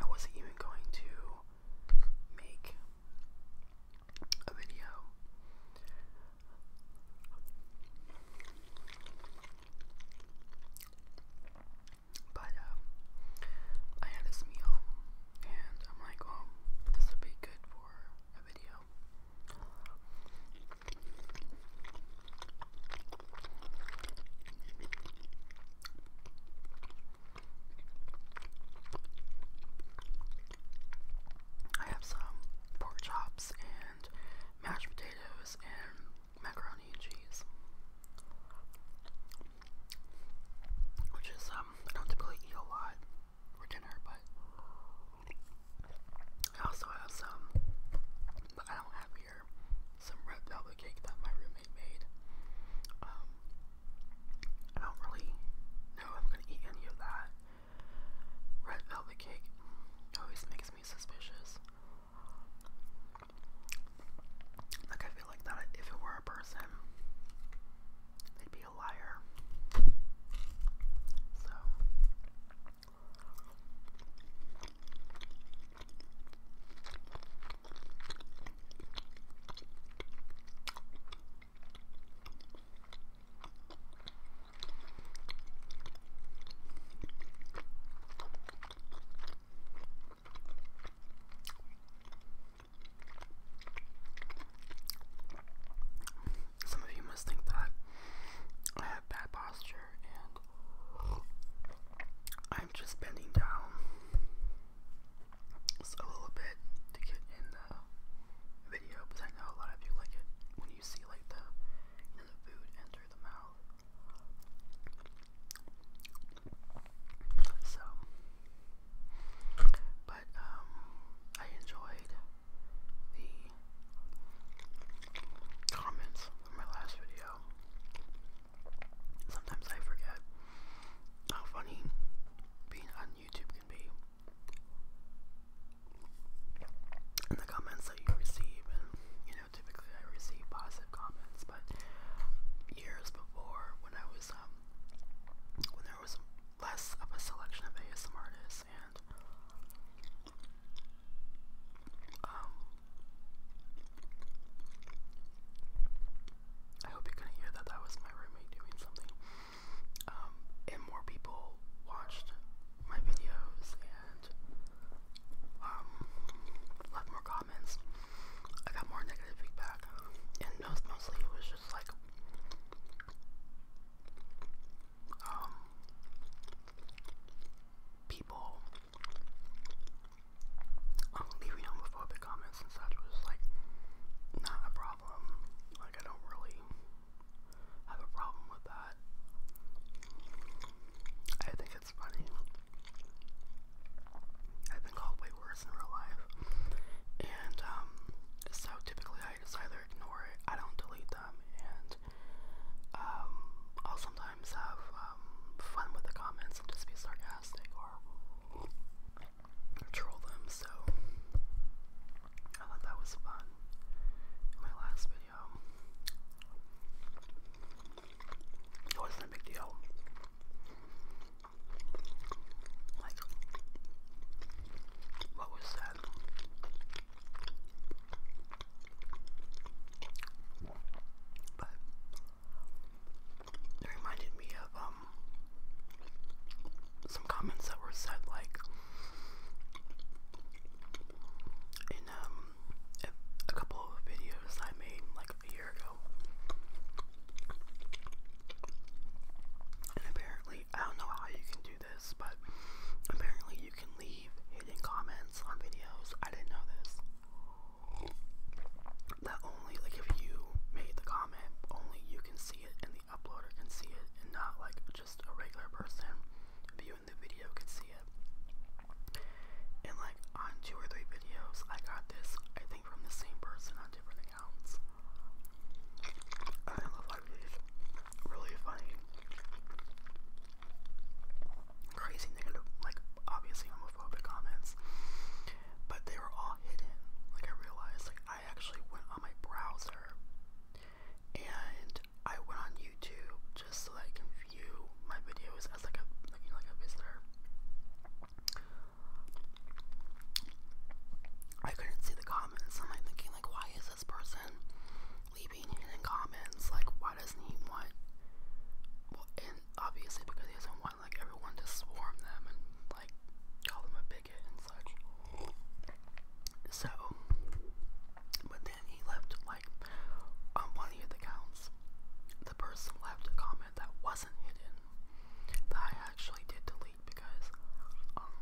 I wasn't even going to make a video. But um, I had this meal, and I'm like, oh, this would be good for a video. I have some pork chops and mashed potatoes and macaroni and cheese. Which is, um, I don't typically eat a lot for dinner, but I also have some that I don't have here. Some red velvet cake that my roommate made. Um, I don't really know if I'm gonna eat any of that. Red velvet cake always makes me suspicious. Like I feel like that if it were a person, they'd be a liar. So some of you must think that I have bad posture and I'm just bending down a little bit to get in the video because I know a lot of you like it when you see like the the food and through the mouth. So, but um, I enjoyed the comments from my last video. Sometimes I forget how funny being on YouTube can be. And the comments that you receive, and you typically I receive positive comments, but years before, when I was, um, when there was less of a selection of ASMR artists, and, um, I hope you couldn't hear that, that was my roommate doing something, um, and more people watched my videos, and and um, more comments. I got more negative feedback, and most, mostly it was just like, um, people um, leaving homophobic comments and such was like not a problem. Like, I don't really have a problem with that. I think it it's funny. I've been called way worse in real life. And, um, so typically I either ignore it, I don't delete them, and, um, I'll sometimes have, um, fun with the comments and just be sarcastic or troll them, so I thought that was fun my last video it wasn't a big deal. Like, what was that? But it reminded me of um some comments that were said like in um a couple of videos I made like a year ago. And apparently, I don't know how you can do this, but apparently you can leave hidden comments on videos. I didn't know this. That only, like, if you made the comment, only you can see it and the uploader can see it, and not like just a regular person, viewer the video could see it. And like on two or three videos, I got this, I think from the same person on different accounts. I love like Really funny. Crazy negative, like obviously homophobic comments. But they were all hidden. Like I realized, like I actually went on my browser and I went on YouTube just so that I can view my videos as like a like, a visitor. I couldn't see the comments. I'm like thinking like why is this person leaving hidden comments? Like why doesn't he want and obviously because he doesn't want like everyone to swarm them and like call them a bigot and such. So but and he left like on um, one of the accounts, the person left a comment that wasn't hidden that I actually did delete because um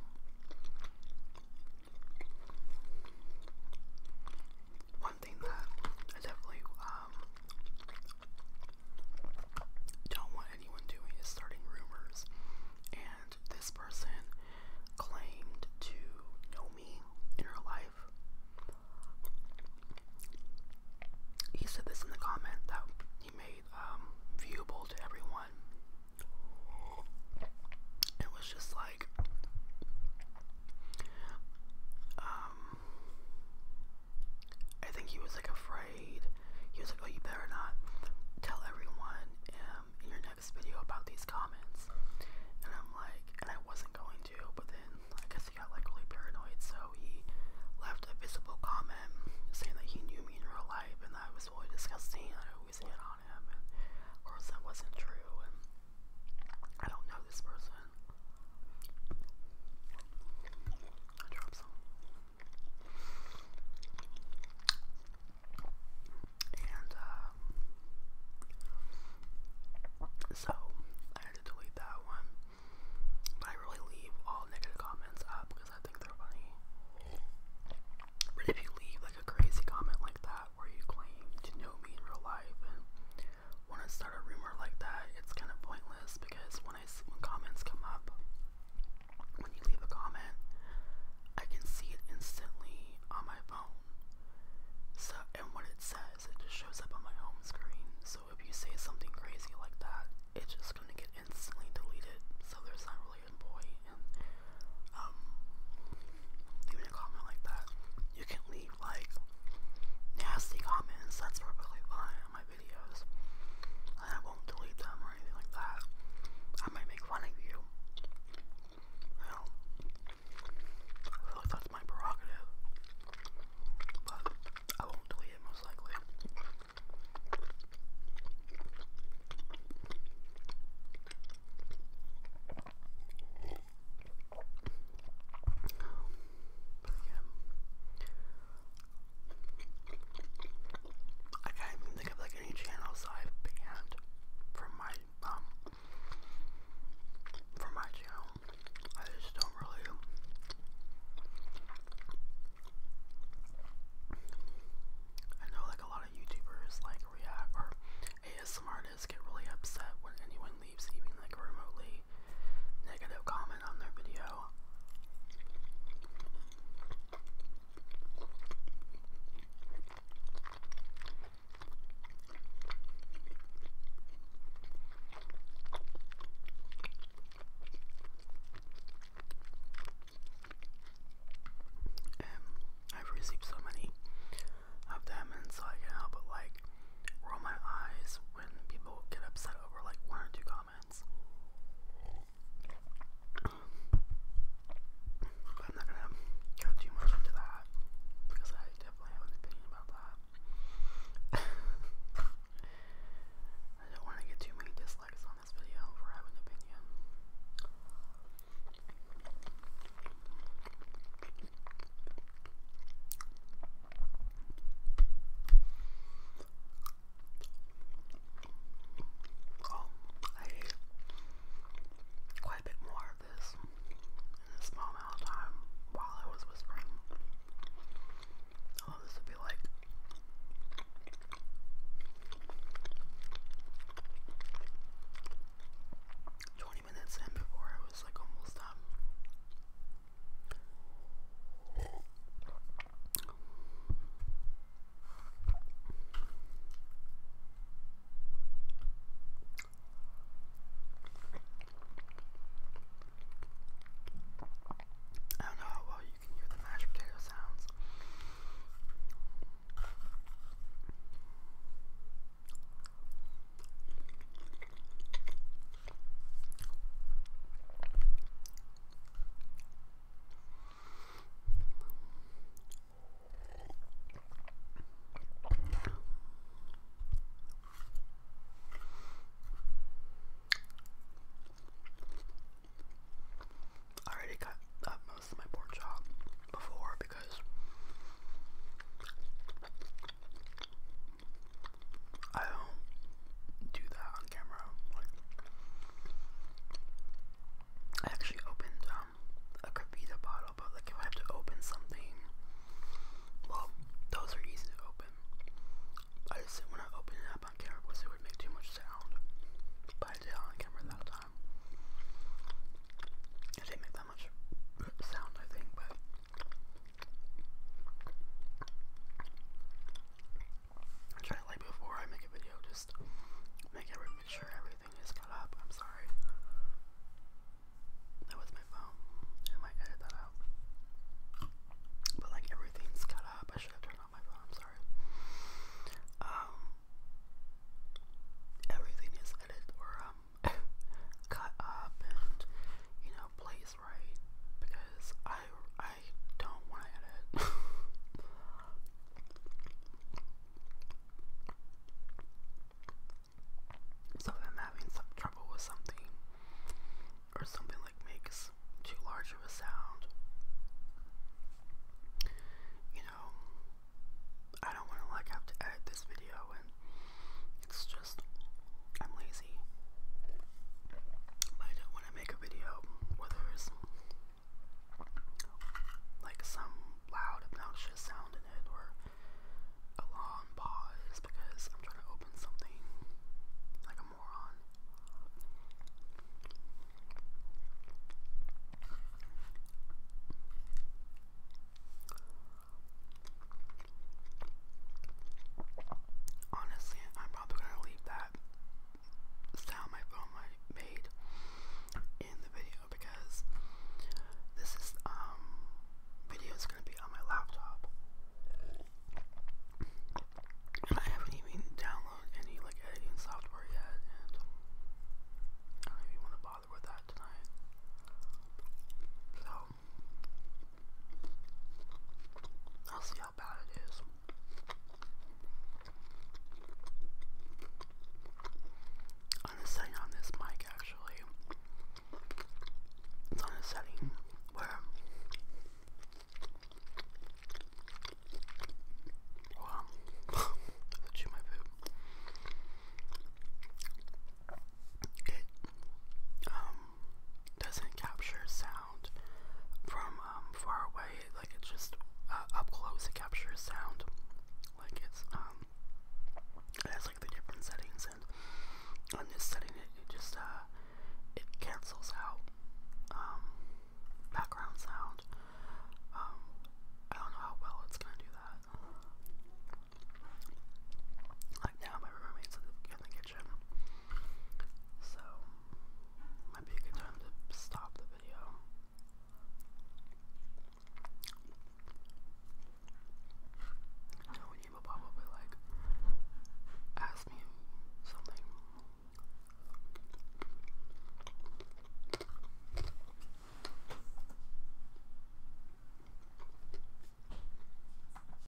one thing that I definitely um don't want anyone doing is starting rumors and this person claimed to know me in real life. He said this in the comment that he made um, viewable to everyone. It was just like, um, I think he was like afraid. He was like, "Oh, you better not tell everyone um, in your next video about these comments. And I'm like, and I wasn't going to, but then I guess he got like really paranoid, so he left a visible comment saying that he knew me in real life and that I was really disgusting and I always hit on him. And of course, that wasn't true. And I don't know this person. I dropped some. And uh, so I had to delete that one. But I really leave all negative comments up because I think they're funny. But if you leave like a crazy comment like that where you claim to know me in real life and want to start a rumor like that, it's kind of pointless because when I when comments come up, when you leave a comment, I can see it instantly on my phone. So, and what it says, it just shows up on my home screen. So if you say something crazy like that, it's just gonna get instantly deleted. So there's not really a point um leaving a comment like that. You can leave like nasty comments. That's perfectly fine on my videos. And I won't delete them or anything like that. I might make fun of you. You know, I feel like that's my prerogative, but I won't delete most likely. But yeah. I can't think of like any channels I've banned from my um, from my channel. I just don't really I know like a lot of YouTubers like react or some artists get really upset when anyone leaves even like a remotely negative comment on their video. And um, I've received so many of them, and so I can't help but like roll my eyes when people get upset over like one or two comments. But I'm not gonna go too much into that because I definitely have an opinion about that. I don't want to get too many dislikes on this video for having an opinion. Oh, I ate quite a bit more of this in a small amount of time while I was whispering. Oh, this would be like twenty minutes in before I was like almost done. I don't know how well you can hear the mashed potato sounds. I already cut up most of my pork chop before because I don't do that on camera. I actually opened um a Kavita bottle, but like if I have to open something, well, those are easy to open. I just didn't want to it up on camera because it would make too much sound. But I did on camera that time. It didn't make that much sound, I think, but I try like before I make a video, just make every make sure everything is cut up. I'm sorry. That was my phone. I might edit that out. But like everything's cut up. I should have turned off my phone. I'm sorry. Um, everything is edited or um cut up and you know placed right because I I I don't want to edit. so if I'm having trouble with something, or something like makes too large of a sound, you know, I don't want to like have to edit this video and it's just, I'm lazy crazy. But when I make a video where there's like some loud, obnoxious sound in it or a long pause because I'm trying to open something like a moron. Honestly, I'm probably gonna leave that that my phone made in the video because this is um video is gonna be on my laptop. And I haven't even downloaded any like editing software yet, and I don't even want to bother with that tonight. So I'll see I'm it is. setting on this mic, actually, it's on a setting where. Wow, chew my poop. It um, doesn't capture sound from um, far away. Like it just uh, up close it captures sound. Like it's um, it has like the different settings, and on this setting it, just uh, it cancels out um, background sound. Um, I don't know how well it's gonna do that. Like now, my roommate's in the kitchen. So, might be a good time to stop the video. No will probably like ask me something.